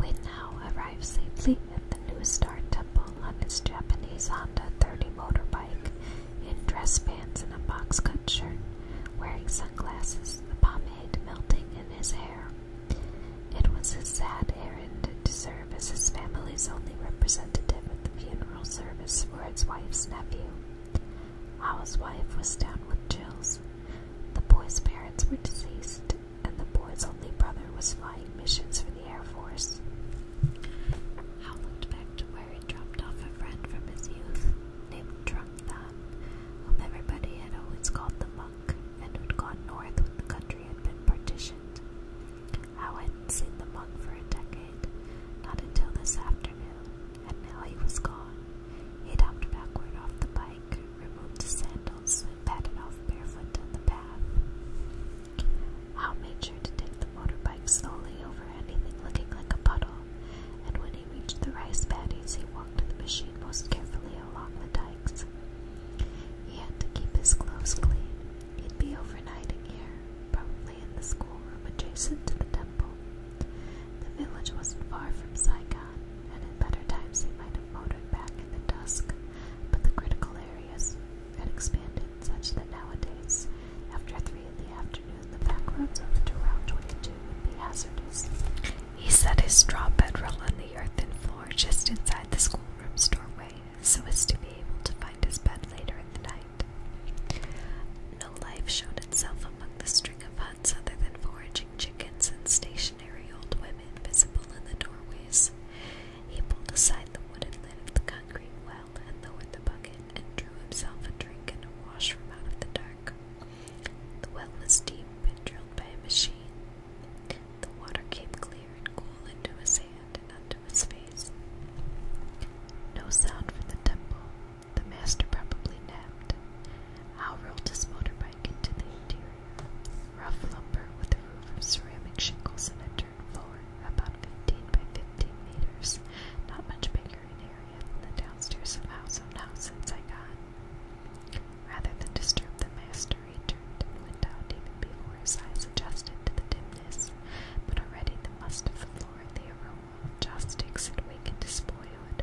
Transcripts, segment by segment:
We now arrive safely at the New Star Temple on his Japanese Honda 30 motorbike, in dress pants and a box-cut shirt, wearing sunglasses, the pomade melting in his hair. It was a sad errand to serve as his family's only representative at the funeral service for his wife's nephew. Ao's wife was down with chills. The boy's parents were deceased, and the boy's only brother was flying missions for the Air Force. Hal looked back to where he dropped off a friend from his youth named Drunk whom everybody had always called the monk, and who'd gone north when the country had been partitioned. Hal had seen the monk for a decade, not until this afternoon, and now he was gone. He hopped backward off the bike, removed his sandals, and padded off barefoot down the path. Hal made sure to take the motorbike slowly over anything looking like a puddle, and when he reached the rice paddies, he walked the machine most carefully along the dikes. He had to keep his clothes clean. He'd be overnighting here, probably in the schoolroom adjacent to the temple. The village wasn't far from Saigon, and in better times he might have motored back in the dusk, but the critical areas had expanded such that nowadays, after three in the afternoon, the back roads over to Route 22 would be hazardous. He set his straw bedroll on the earthen floor just inside the schoolroom's doorway, so as to be able to find his bed later in the night. No life showed itself among the string of huts other than foraging chickens and station stationary old women visible in the doorways. He pulled aside the wooden lid of the concrete well and lowered the bucket and drew himself a drink and a wash from out of the dark. The well was deep and drilled by a machine. The water came clear and cool into his hand and onto his face. No sound from the temple. The master probably napped. Hal rolled his motorbike drawing into the interior. Rough lumber with a roof of ceramic shingles and a turned floor, about 15 by 15 meters, not much bigger in area than the downstairs of house on house in Saigon. Rather than disturb the master, he turned and went out even before his eyes adjusted to the dimness, but already the must of the floor and the aroma of joss sticks had wakened his boyhood,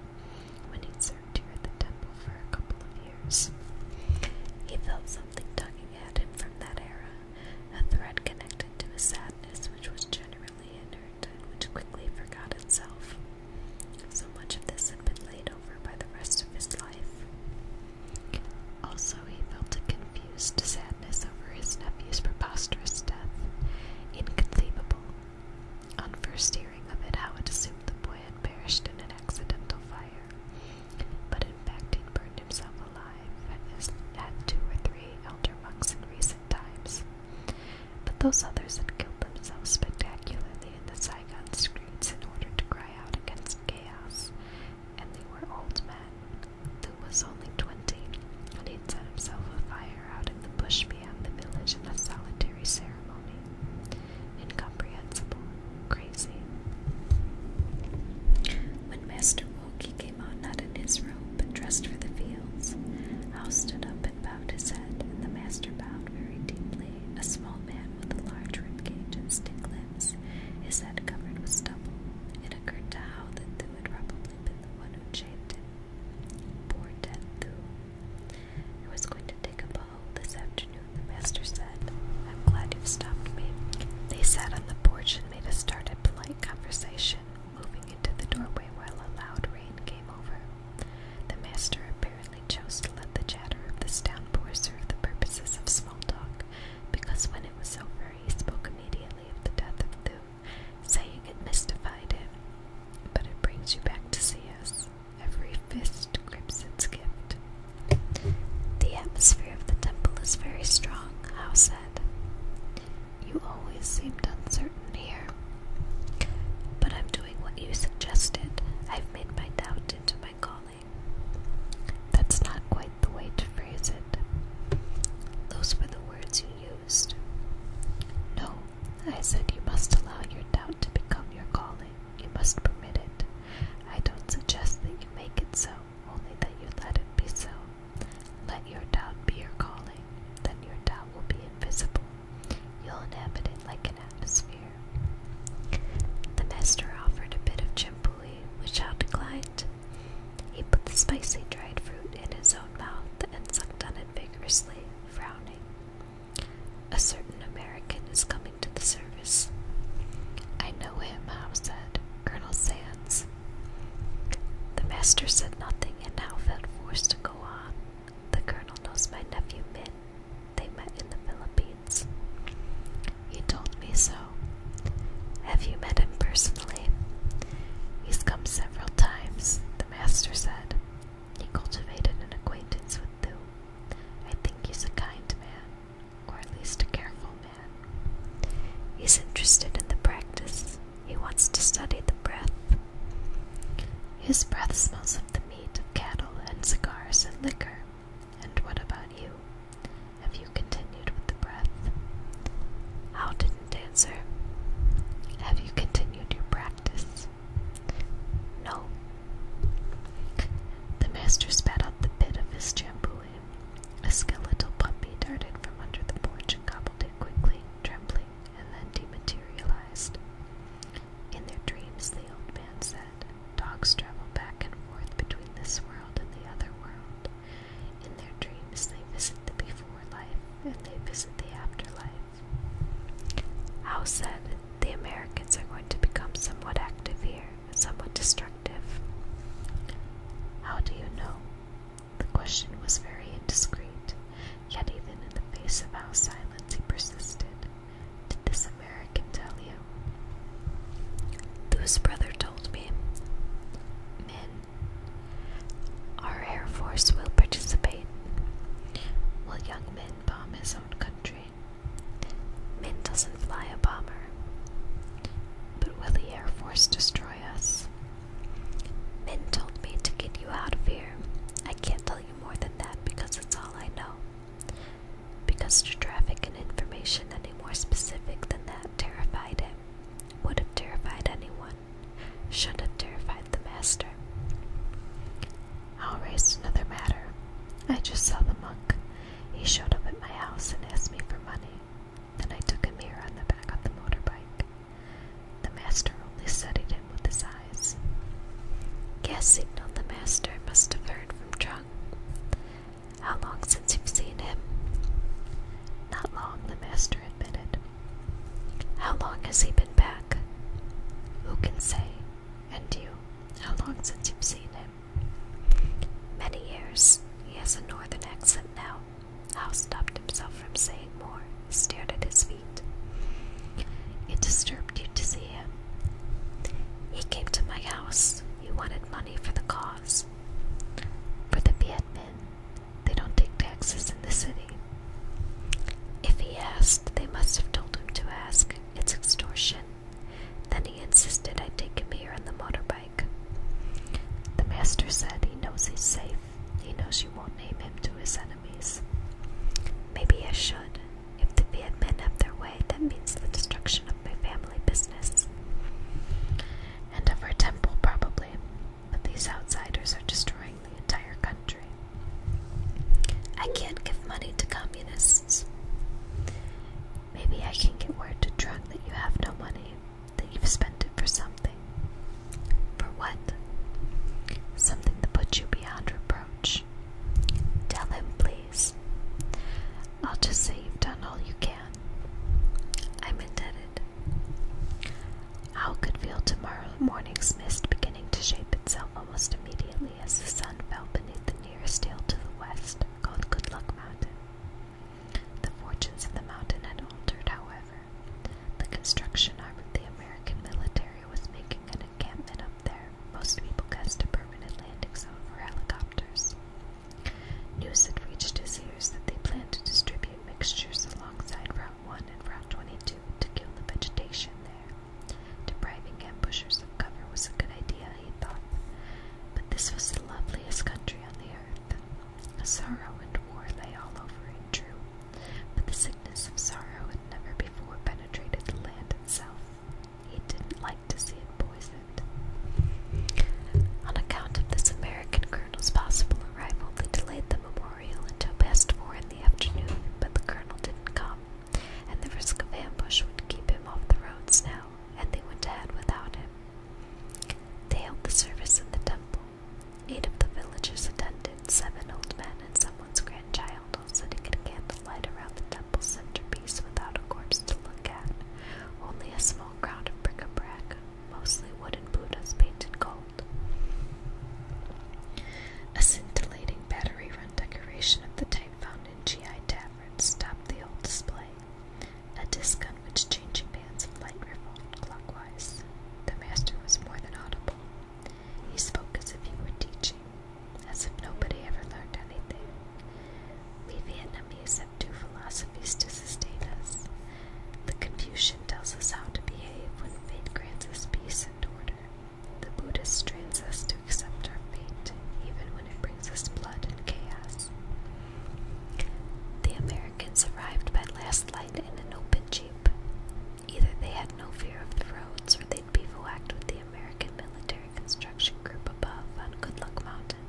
when he served here at the temple for a couple of years. He felt something tugging at him from that era, a thread connected to a sadness which was generally inert and which quickly forgot itself. So much of this had been laid over by the rest of his life. Also, he felt a confused sadness over his nephew's preposterous death, inconceivable, on first hearing of it, how it seemed the boy had perished in an accidental fire, but in fact he'd burned himself alive, and as had two or three elder monks in recent times. But those others had killed themselves spectacularly in the Saigon streets in order to cry out against chaos, and they were old men. Lou was only twenty, and he'd set himself afire out in the bush Arabia of the village in a solitary ceremony. Incomprehensible. Crazy. When Master woke, he came out not in his robe, but dressed for the fields. House stood up and bowed his head, and the master bowed very deeply, a small man with a large rib cage and stick limbs, his head covered with stubble. It occurred to Howe that Thu had probably been the one who chained him. Poor dead Thu. It was going to take a ball this afternoon, the master said. I'm glad you've stopped me. They sat on the porch and made a start at polite conversation, moving into the doorway while a loud rain came over. The master apparently chose to let the chatter of this downpour serve the purposes of small talk, because when it was over, he spoke immediately of the death of Thu, saying it mystified him. But it brings you back to see us. Every fist grips its gift. The atmosphere of the temple is very strong, Howe said. You always seemed uncertain here. But I'm doing what you suggested. I've made my doubt into my calling. That's not quite the way to phrase it. Those were the words you used. No, I said you must allow your doubt to become your calling. You must permit it. I don't suggest that you make it so, only that you let it be so. Let your doubt be your calling, then your doubt will be invisible. You'll inhabit it like an atmosphere. The master offered a bit of chimpuli, which I declined. He put the spicy dried fruit in his own mouth and sucked on it vigorously, frowning. A certain American is coming to the service. I know him, Howe said, Colonel Sands. The master said nothing and now felt forced to go on. The colonel knows my nephew Min. They met in the Philippines. He told me so. Have you met him personally? He's come several times, the master said. He cultivated an acquaintance with Thu. I think he's a kind man, or at least a careful man. He's interested in the practice. He wants to study the breath. His breath smells of the meat of cattle and cigars and liquor. And what about you? Have you continued with the breath? How didn't answer. Have you continued your practice? No. The master spat out the bit of his jambouille. A skeletal puppy darted from under the porch and cobbled it quickly, trembling, and then dematerialized. In their dreams, the old man said, dogs travel back and forth between this world and the other world. In their dreams, they visit the before life and they visit the after life." How said, The Americans are going to become somewhat active here, somewhat destructive. How do you know? The question was very indiscreet, yet even in the face of our silence he persisted. Did this American tell you? Lou's brother told me. Men, our Air Force will participate. Will young Min bomb his own country. Min doesn't fly a bomber. But will the Air Force destroy us? Min told me to get you out of here. I can't tell you more than that because it's all I know. Because to traffic in information any more specific than that terrified him, would have terrified anyone should have terrified the master. I'll raise another matter. I just saw the monk. He showed up at my house and asked me for money. Then I took him here on the back of the motorbike. The master only studied him with his eyes. Gas signaled the master must have heard from Chung. How long since you've seen him? Not long, the master admitted. How long has he been back? Who can say? And you? How long since you've seen him? Many years. He has a northern accent now. Hal stopped himself from saying more, stared at his feet. It disturbed you to see him. He came to my house. He wanted money for the cause. For the Viet Minh, they don't take taxes in the city. If he asked, they must have told him to ask. It's extortion. Then he insisted I take him here on the motorbike. The master said he knows he's safe. He knows you won't name him to his enemies. Maybe I should. If the Viet Minh have their way, that means the destruction of my family business. And of our temple, probably. But these outsiders are destroying the entire country. I can't give money to communists. Maybe I can get word to Trunk that you have no money, that you've spent it for something. For what? Something that puts you beyond reproach. Tell him, please. I'll just say you've done all you can. I'm indebted. Hal could feel tomorrow morning's mist beginning to shape itself almost immediately as the sun fell beneath the nearest hill to the west, called Good Luck Mountain. The fortunes of the mountain had altered, however. The construction arm of the American military was making an encampment up there, most people guessed a permanent landing zone for helicopters. News had reached his ears that they planned to distribute mixtures alongside 1 and Route 22 to kill the vegetation there. Depriving ambushers of cover was a good idea, he thought. But this was the loveliest country on the earth. Sorrow and war lay all over it, true, but the sickness of sorrow had never before penetrated the land itself. He didn't like to see it poisoned. On account of this American colonel's possible arrival, they delayed the memorial until past four in the afternoon, but the colonel didn't come, and the risk of ambush would keep him off the roads now, and they went ahead without him. They held the service in the temple. Eight of the villagers attended, seven old men and someone's grandchild all sitting at candlelight around the temple centerpiece without a corpse to look at, only a small crowd of bric-a-brac, mostly wooden Buddhas painted gold. A scintillating battery run decoration of the type found in GI taverns stopped the old display. A disc on which changing bands of light revolved clockwise. The master was more than audible. He spoke as if he were teaching, as if nobody ever learned anything. We Vietnamese have two philosophies to sustain us the Confucian tells us how to behave when fate grants us peace and order. The Buddhist trains us to accept our fate, even when it brings us blood and chaos. The Americans arrived by last light in an open jeep. Either they had no fear of the roads, or they'd bivouacked with the American military construction group above on Good Luck Mountain.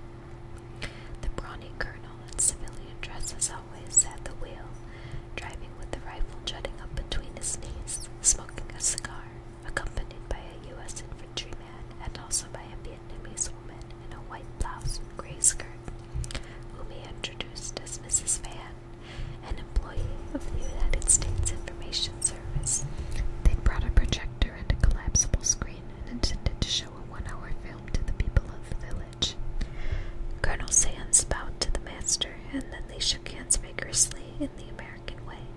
The brawny colonel in civilian dress, as always, at the wheel, driving with the rifle jutting up between his knees, smoking a cigar, accompanied by a U.S. infantryman and also by a Vietnamese woman in a white blouse and gray skirt, whom he introduced as Mrs. Van, an employee of the United States Information Service. They brought a projector and a collapsible screen and intended to show a one-hour film to the people of the village. Colonel Sands bowed to the master, and then they shook hands vigorously in the American way.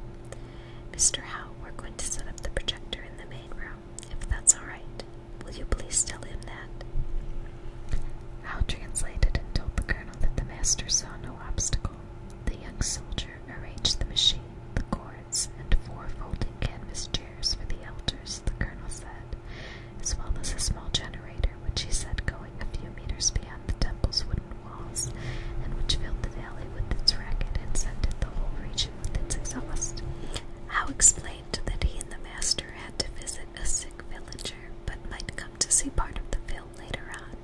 Mr. Howe, we're going to set up the projector in the main room, if that's all right. Will you please tell him that? Howe translated and told the colonel that the master saw no obstacle. The young soldier arranged the machine, the cords, and four folding canvas chairs for the elders, the colonel said as well as a small generator which he said going a few meters beyond the temple's wooden walls, and which filled the valley with its racket and scented the whole region with its exhaust. How explained that he and the master had to visit a sick villager, but might come to see part of the film later on.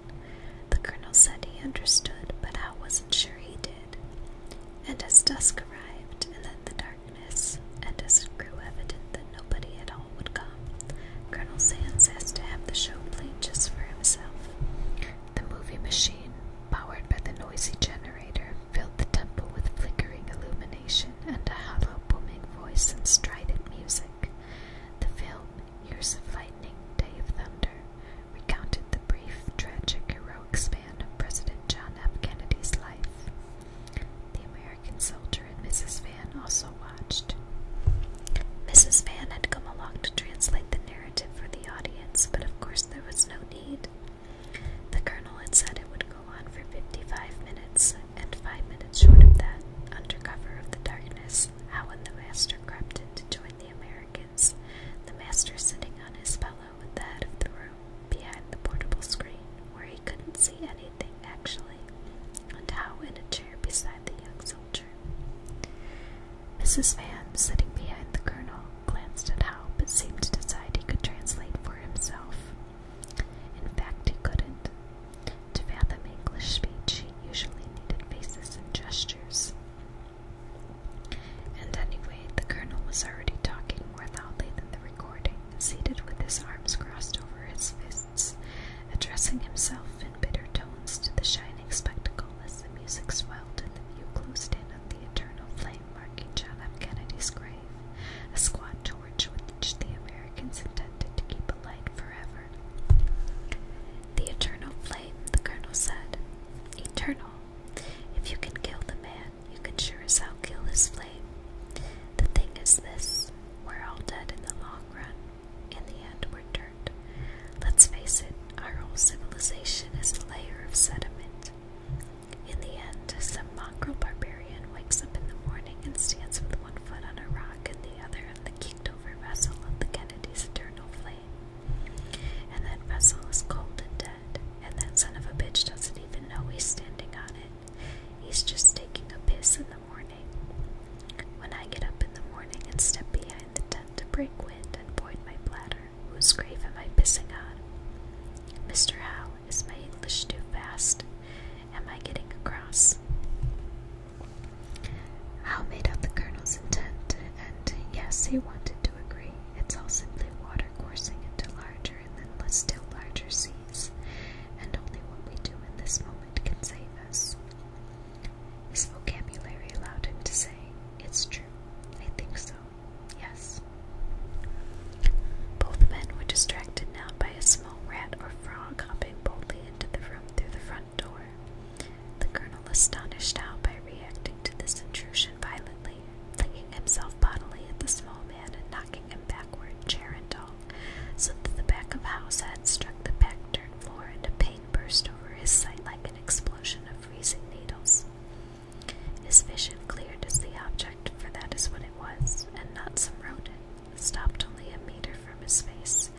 The colonel said he understood, but Howe wasn't sure he did. And as dusk arrived, and then the dark darkness, and as it grew evident that nobody at all would come, Colonel Sands asked to have the show played just for himself. The movie machine, powered by the noisy generator, filled the temple with flickering illumination and a hollow booming voice and strident music. The film, Years of Lightning, Day of Thunder, recounted the brief, tragic, heroic span of President John F. Kennedy's life. American soldier and Mrs. Van also watched. Mrs. Van had come along to translate the narrative for the audience, but of course there was no need. The colonel had said it would go on for 55 minutes, and five minutes short of that, under cover of the darkness, Howan the master crept in to join the Americans, the master sitting on his pillow at the head of the room behind the portable screen where he couldn't see anything actually, and how in a chair beside the young soldier. Mrs. Van, sitting behind the colonel, glanced at Howe but seemed to decide he could translate for himself. In fact, he couldn't. To fathom English speech, he usually needed faces and gestures. And anyway, the colonel was already talking more loudly than the recording seated with his arms crossed over his fists, addressing himself in bitter tones to the shining spectacle as the music swelled and the view closed in on the eternal flame marking John F. Kennedy's grave, a squat torch which the Americans intended to keep alight forever. The eternal flame, the colonel said. Eternal. If you can kill the man, you can sure as hell kill this flame. The thing is this we're all dead in the long run. In the end, we're dirt. Let's face it, our whole civilization is a layer of sediment. In the end, some mongrel barbarian wakes up in the morning and stands with one foot on a rock and the other on the kicked over vessel of the Kennedy's eternal flame. And that vessel is cold and dead, and that son of a bitch doesn't even know he's standing on it. He's just taking a piss in the morning. When I get up in the morning and step behind the tent to break wind and void my bladder, whose grave am I pissing on? Mr. How is my English too fast? Am I getting across? Howe made out the colonel's intent, and yes, he wanted to agree. It's all simply water coursing into large and then, endless, still larger seas, and only what we do in this moment can save us. His vocabulary allowed him to say, It's true. I think so. Yes. Both men were distracted now by a small rat or frog hopping boldly into the room through the front door. The colonel astonished how, by reacting to this intrusion violently, flinging himself bodily at the small man and knocking rocking backward, chair and all, so that the back of house had struck the back dirt floor and a pain burst over his sight like an explosion of freezing needles. His vision cleared as the object, for that is what it was, and not some rodent, stopped only a meter from his face,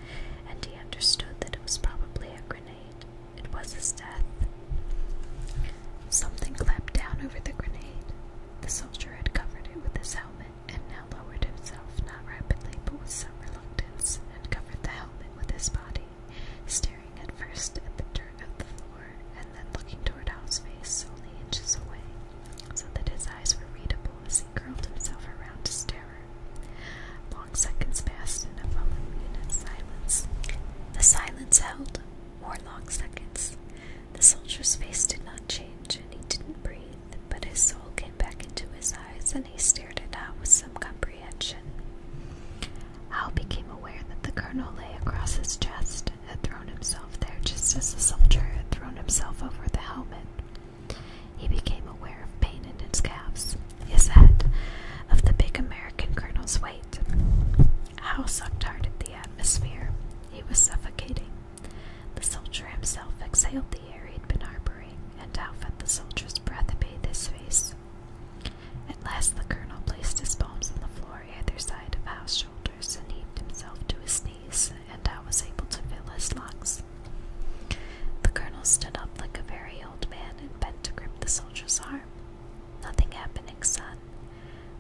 and he understood that it was probably a grenade. It was his death. Something clapped down over the grenade. The soldier had covered it with his helmet, and now lowered himself, not rapidly, but with some reluctance, and covered the helmet with his body, staring at first at the dirt of the floor, and then looking toward Al's face, only inches away, so that his eyes were readable as he curled himself around to stare. Long seconds passed in a voluminous silence. The silence held more long seconds. The soldier's face did not change, and he didn't breathe, but his soul came back into his eyes, and he stared at Hal with some comprehension. How became aware that the colonel lay across his chest, had thrown himself there just as the soldier had thrown himself over the helmet. He became aware of pain in his calves, his head, of the big American colonel's weight. How sucked hard at the atmosphere, he was suffocating. The soldier himself exhaled the air he'd been harboring, and Hal felt the soldier's breath bathed his face. At last the colonel placed his palms on the floor either side of Hal's shoulders and heaved himself to his knees, and Hal was able to feel his locks. The colonel stood up like a very old man and bent to grip the soldier's arm. Nothing happening, son,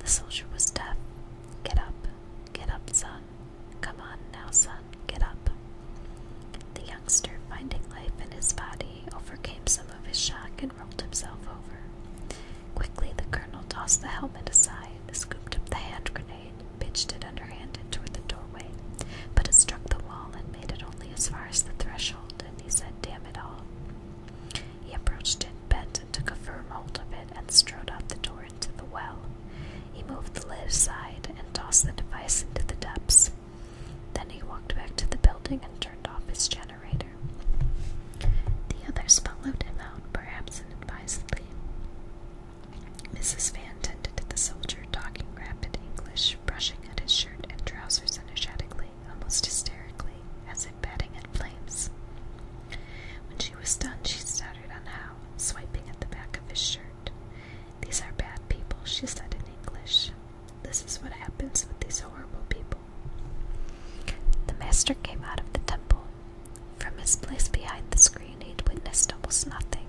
the soldier was deaf. Get up, get up, son. Come on now, son, get up. The youngster, finding life in his body, overcame some of his shock and rolled himself over. Quickly, the colonel tossed the helmet aside, scooped up the hand grenade, pitched it underhanded toward the doorway, but it struck the wall and made it only as far as the threshold, and he said, Damn it all. He approached it Bet took a firm hold of it and strode out the door into the well. He moved the lid aside and tossed the device into the depths. Then he walked back to the building and turned off his generator. The others followed him out, perhaps inadvisedly. Mrs. Van tended to the soldier, talking rapid English, brushing at his shirt and trousers energetically, almost hysterically, as if batting at flames. When she was done, she stuttered on how, swiping at the back of his shirt. These are bad people, she said in English. This is what happens with these horrible people. The master came out of the temple. From his place behind the screen, he'd witnessed almost nothing.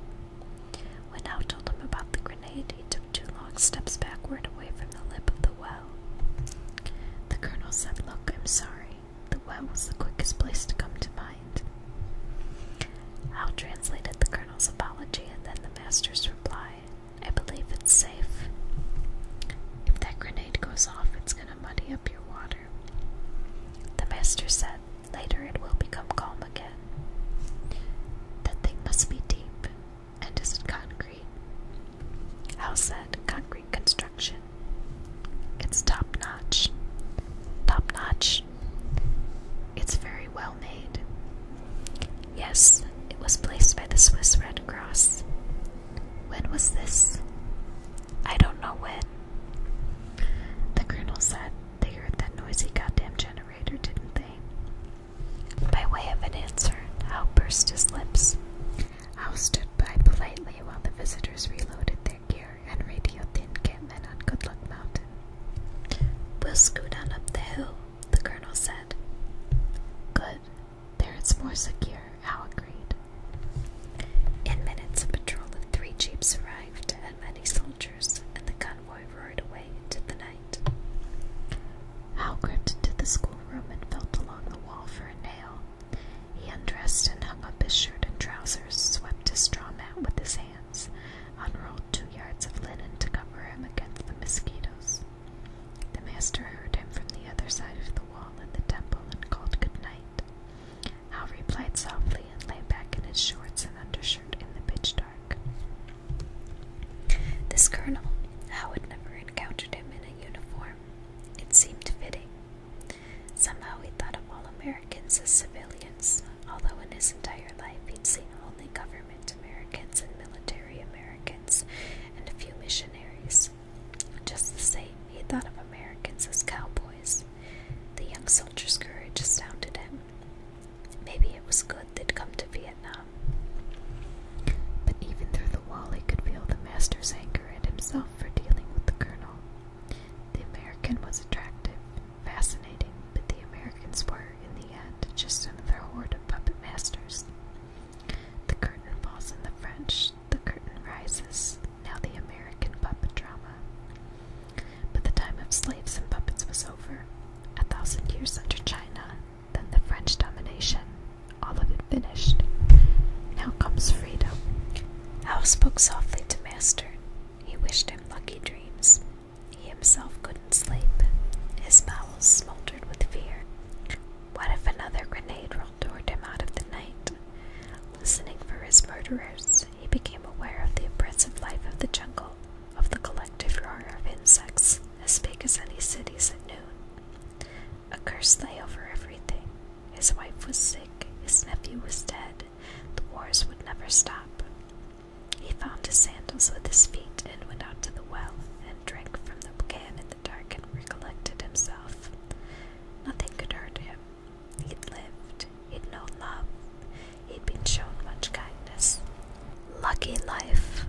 When how told him about the grenade, he took two long steps backward away from the lip of the well the colonel said, Look, I'm sorry. The well was the quickest place to come to mind. Hal translated the colonel's apology and then the master's reply. I believe it's safe. If that grenade goes off, it's going to muddy up your water. The master said, Later it will become calm again. That thing must be deep. And is it concrete? Hal said, Concrete concrete construction. It's top notch. Top notch. It's very well made. Yes, it was placed by the Swiss Red Cross. When was this? I don't know when. The colonel said they heard that noisy goddamn generator, didn't they? By way of an answer, Hal burst his lips. Howe stood by politely while the visitors reloaded their gear and radioed the encampment on Good Luck Mountain. We'll scoot on up the hill, the colonel said. Good. There it's more secure, Howe agreed. In minutes, a patrol of three jeeps arrived and many soldiers, and the convoy roared away into the night. Hal crept into the schoolroom and felt along the wall for a nail, he undressed and hung up his shirt and trousers, swept his straw mat with his hands, unrolled two yards of linen to cover him against the mosquitoes. The master heard him from the other side of the wall in the temple and called good night. Hal replied softly and lay back in his shorts and undershirt in the pitch dark. This colonel, Hal had never encountered him in a uniform, it seemed fitting. Somehow he thought of all Americans as civilians, although in his entire life he'd seen only government Americans and military Americans and a few missionaries. Just the same, he thought of Americans as cowboys. The young soldier's courage sounded him. Maybe it was good they'd come to Vietnam. But even through the wall he could feel the master's anger at himself for dealing with the colonel. The American was attractive, fascinating, but the Americans were, in the end, just another horde of puppet masters. The curtain falls on the French, the curtain rises, now the American puppet drama. But the time of slaves and puppets was over. A thousand years under China, then the French domination, all of it finished. Now comes freedom. Al spoke softly to Master. He wished him lucky dreams. He himself couldn't sleep. His bowels smoldered with fear. What if another grenade rolled toward him out of the night? Listening for his murderers, he became aware of the oppressive life of the jungle, of the collective roar of insects, as big as any cities at noon. A curse lay over everything. His wife was sick, his nephew was dead, the wars would never stop. He found his sandals with his feet and went out to the well and drank from the can in the dark and recollected himself. Nothing could hurt him. He'd lived, he'd known love, he'd been shown much kindness. Lucky life!